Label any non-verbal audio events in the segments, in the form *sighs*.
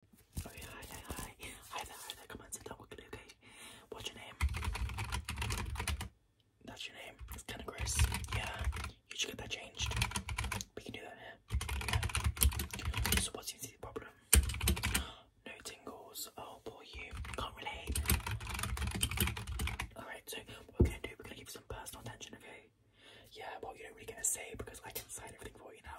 Okay, What's your name? That's your name. It's kind of gross. Yeah, you should get that changed. We can do that here. So, what the problem? *gasps* No tingles. Oh, poor you. Can't relate. Alright, so what we're gonna do, we're gonna give you some personal attention, okay? Yeah, well, you don't really get a say because I can sign everything for you now.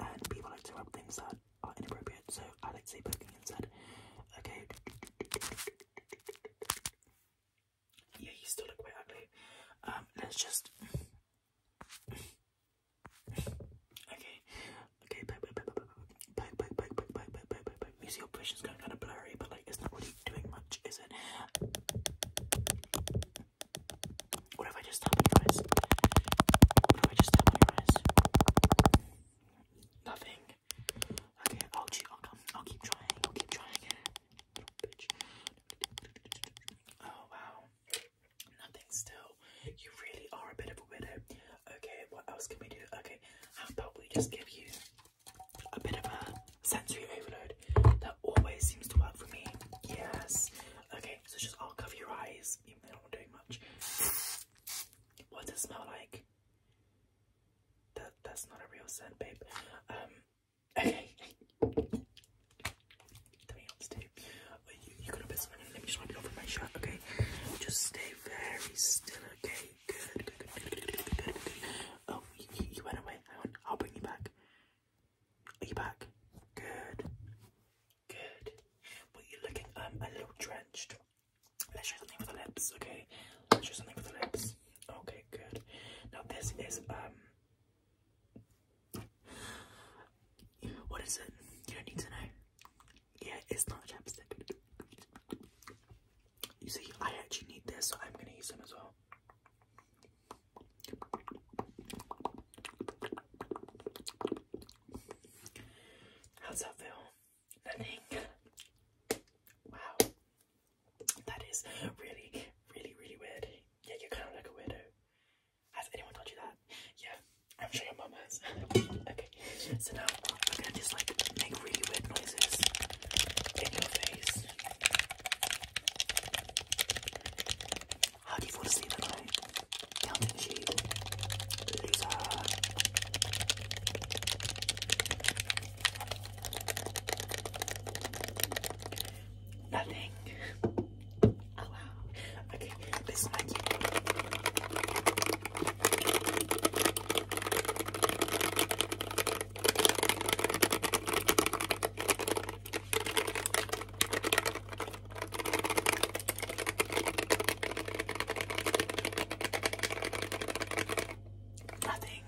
and people like to rub things that are inappropriate, so I like to say poking instead. Okay. Yeah, you still quite ugly. Um, let's just. okay. Okay, poke, poke, poke, poke, poke, poke, poke, poke, poke, poke, poke, going kind of blurry, but like, it's not really doing much, is it? What if I just tap on your eyes? What if I just tap on your eyes? Nothing. Okay, I'll cheat. I'll come. I'll keep trying. I'll keep trying. Oh wow. Nothing still. You really are a bit of a widow. Okay, what else can we do? Okay, how about we just give you a bit of a sensory overload? always seems to work for me. Yes. Okay, so just I'll cover your eyes, even though I'm not doing much. What does it smell like? That that's not a real scent, babe. Um okay. Tell me oh, You, you gotta put something let me just wipe it off my shirt, okay? Just stay very still, okay? Good, Oh, you, went away. I'll bring you back. Are you back? Good. Good. Well, you're looking um a little drenched. Let's show something with the lips, okay? Let's show something with the lips. Okay, good. Now this is um. What is it? You don't need to know. Yeah, it's not chapstick. You see, I actually need this, so I'm gonna use them as well. How's that feel? Nothing. Wow. That is really, really, really weird. Yeah, you're kind of like a weirdo. Has anyone told you that? Yeah, I'm sure your mom has. *laughs* okay, so now I'm gonna just like make really weird noises in your face. How do you fall asleep at night? Counting sheep. Loser. Uh. Nothing. Oh, okay, this is my cute. Nothing.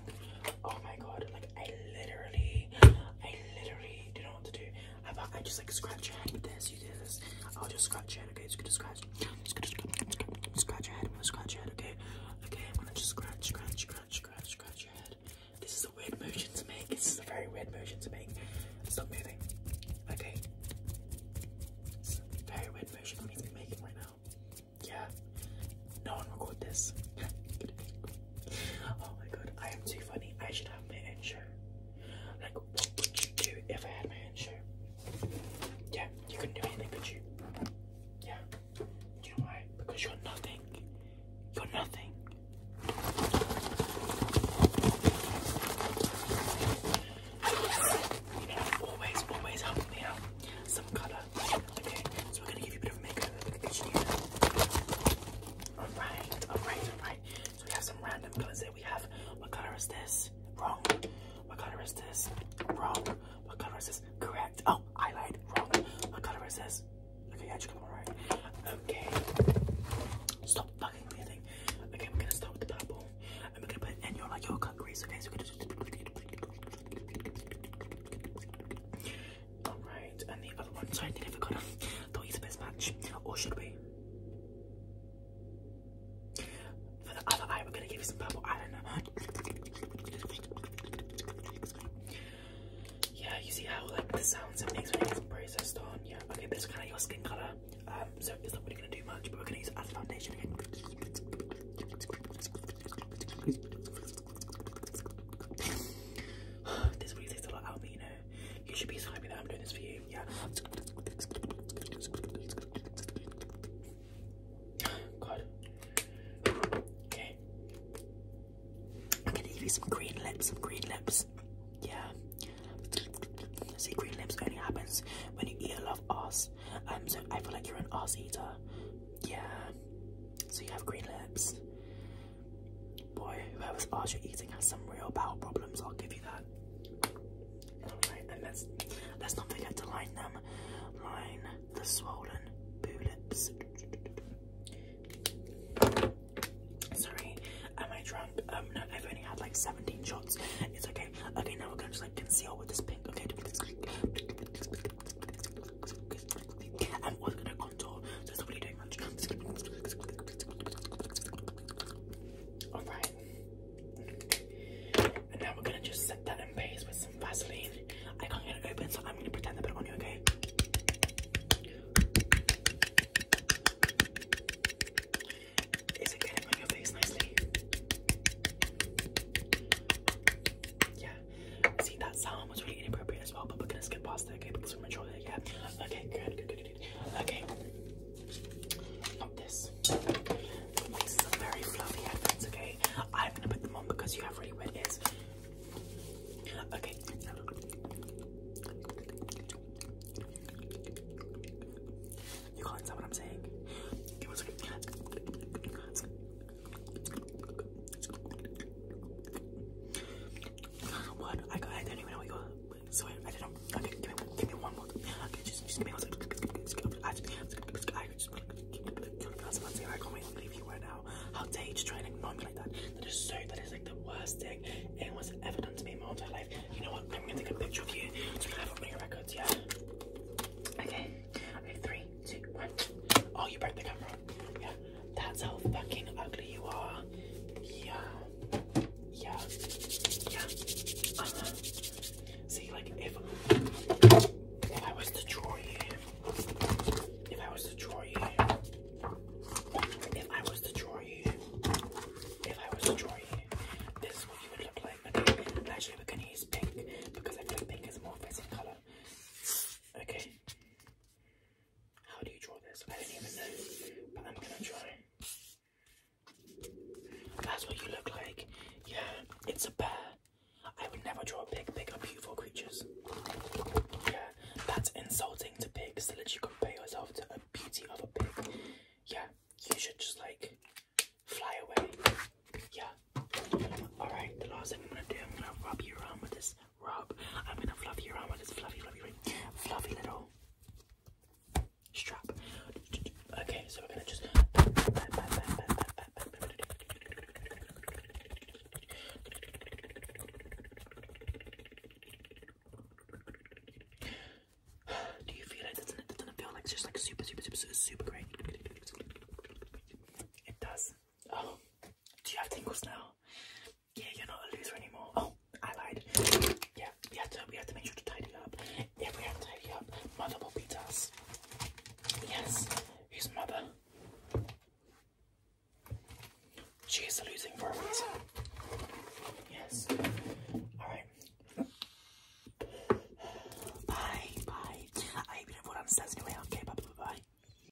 Oh my god, like I literally, I literally didn't know to do. I just like scratch your head with this, you do this. I'll just scratch your head, okay? Just gonna scratch, just gonna scratch, scratch your head, I'm gonna scratch your head, okay? okay? I'm gonna just scratch, scratch, scratch, scratch, scratch your head. This is a weird motion to make. This is a very weird motion to make. Stop moving. Okay. very weird motion I'm making right now. Yeah. No one record this. *laughs* oh my god, I am too funny. I should have my own show. Like, what would you do if I had my own show? Yeah, you couldn't do anything, could you? Yeah. Do you know why? Because you're nothing. You're nothing. always, always help me out. Some colour. Okay, so we're gonna give you a bit of makeup. Alright, alright, alright. So we have some random colours here. We have what colour is this? Wrong. What colour is this? Wrong. What color is this? Correct. Oh, I lied. Wrong. What color is this? Okay, yeah, you come right. Okay. Stop fucking breathing. Okay, we're gonna start with the purple. And we're gonna put it in your like your cut crease, okay? So we're gonna just Alright, and the other one. Sorry, I think I forgot. Thought he's the best match. Or should we? For the other eye, we're gonna give you some purple eyeliner. Yeah, you see how like the sounds it makes when it gets processed on. Yeah, okay, this is kind of your skin color, um, so it's not really gonna do much, but we're gonna use it as foundation again. *sighs* this really takes a lot out of me, you know. You should be so happy I'm doing this for you. Yeah. God. Okay. I'm gonna give you some green lips, some green lips. Yeah. See, green lips only happens when you eat a lot of ass. Um, so I feel like you're an ass eater. Yeah. So you have green lips. Boy, whoever's ass you're eating has some real bowel problems, I'll give you that. Right, and let's let's not forget to line them. Line the swollen boo lips. Sorry, am I drunk? Um, no, I've only had like 17 shots. It's okay. Okay, now we're gonna just like conceal with this pink. Okay, I'm also gonna contour, so it's doing much. Alright, and now we're gonna just set that in base with some Vaseline. I can't get it open, so I'm gonna pretend I put it on you, okay? Is it getting on your face nicely? Yeah. See, that sound was really inappropriate as well, but we're gonna skip past it, okay? Because we're mature there, yeah. Okay, good, good. good. Okay. Not this. These are very fluffy headphones, okay? I'm gonna put them on because you have really wet Okay. You can't tell what I'm saying. What? I don't even know what you're so I, I don't know. Okay, give me, give me one more. Okay, just, just give me one second. I just, I just, I'm saying, I can't wait to leave you right now. How dare you just try and ignore me like that? That is so, that is like the worst thing anyone's ever done to me in my entire life. You know what? I'm gonna take a picture of you so we have it on your records, yeah? Okay, okay, three, two, one. Oh, you broke the camera. Yeah, that's how fucking ugly you are. Yeah yeah, yeah, uh huh. See, like if if I was to draw you, if I was to draw you, if I was to draw you, if I was to draw you, this is what you would look like. Okay, actually, we're gonna use pink because I feel pink is a more fitting color. Okay. How do you draw this? I don't even know, but I'm gonna try. That's what you look like. Yeah, it's a bear. I would never draw a pig. Pig are beautiful creatures. Yeah, that's insulting to pigs to you compare yourself to a beauty of a pig. Yeah, you should just like fly away. Yeah. Alright, the last thing I'm gonna do, I'm gonna rub you around with this rub. I'm gonna fluff you around with this fluffy, fluffy ring, fluffy little strap. Okay, so we're gonna just. Do you feel it? it doesn't feel like just like super, super, super, super, super great? It does. Oh, do you have tingles now? Yeah, you're not a loser anymore. Oh, I lied. Yeah, we have to we have to make sure to tidy up. If we have to tidy up, mother will beat us. Yes, who's mother? She is losing for a Yes. Alright. Bye, bye. I hope you don't fall down the stairs anyway. Okay, bye, bye.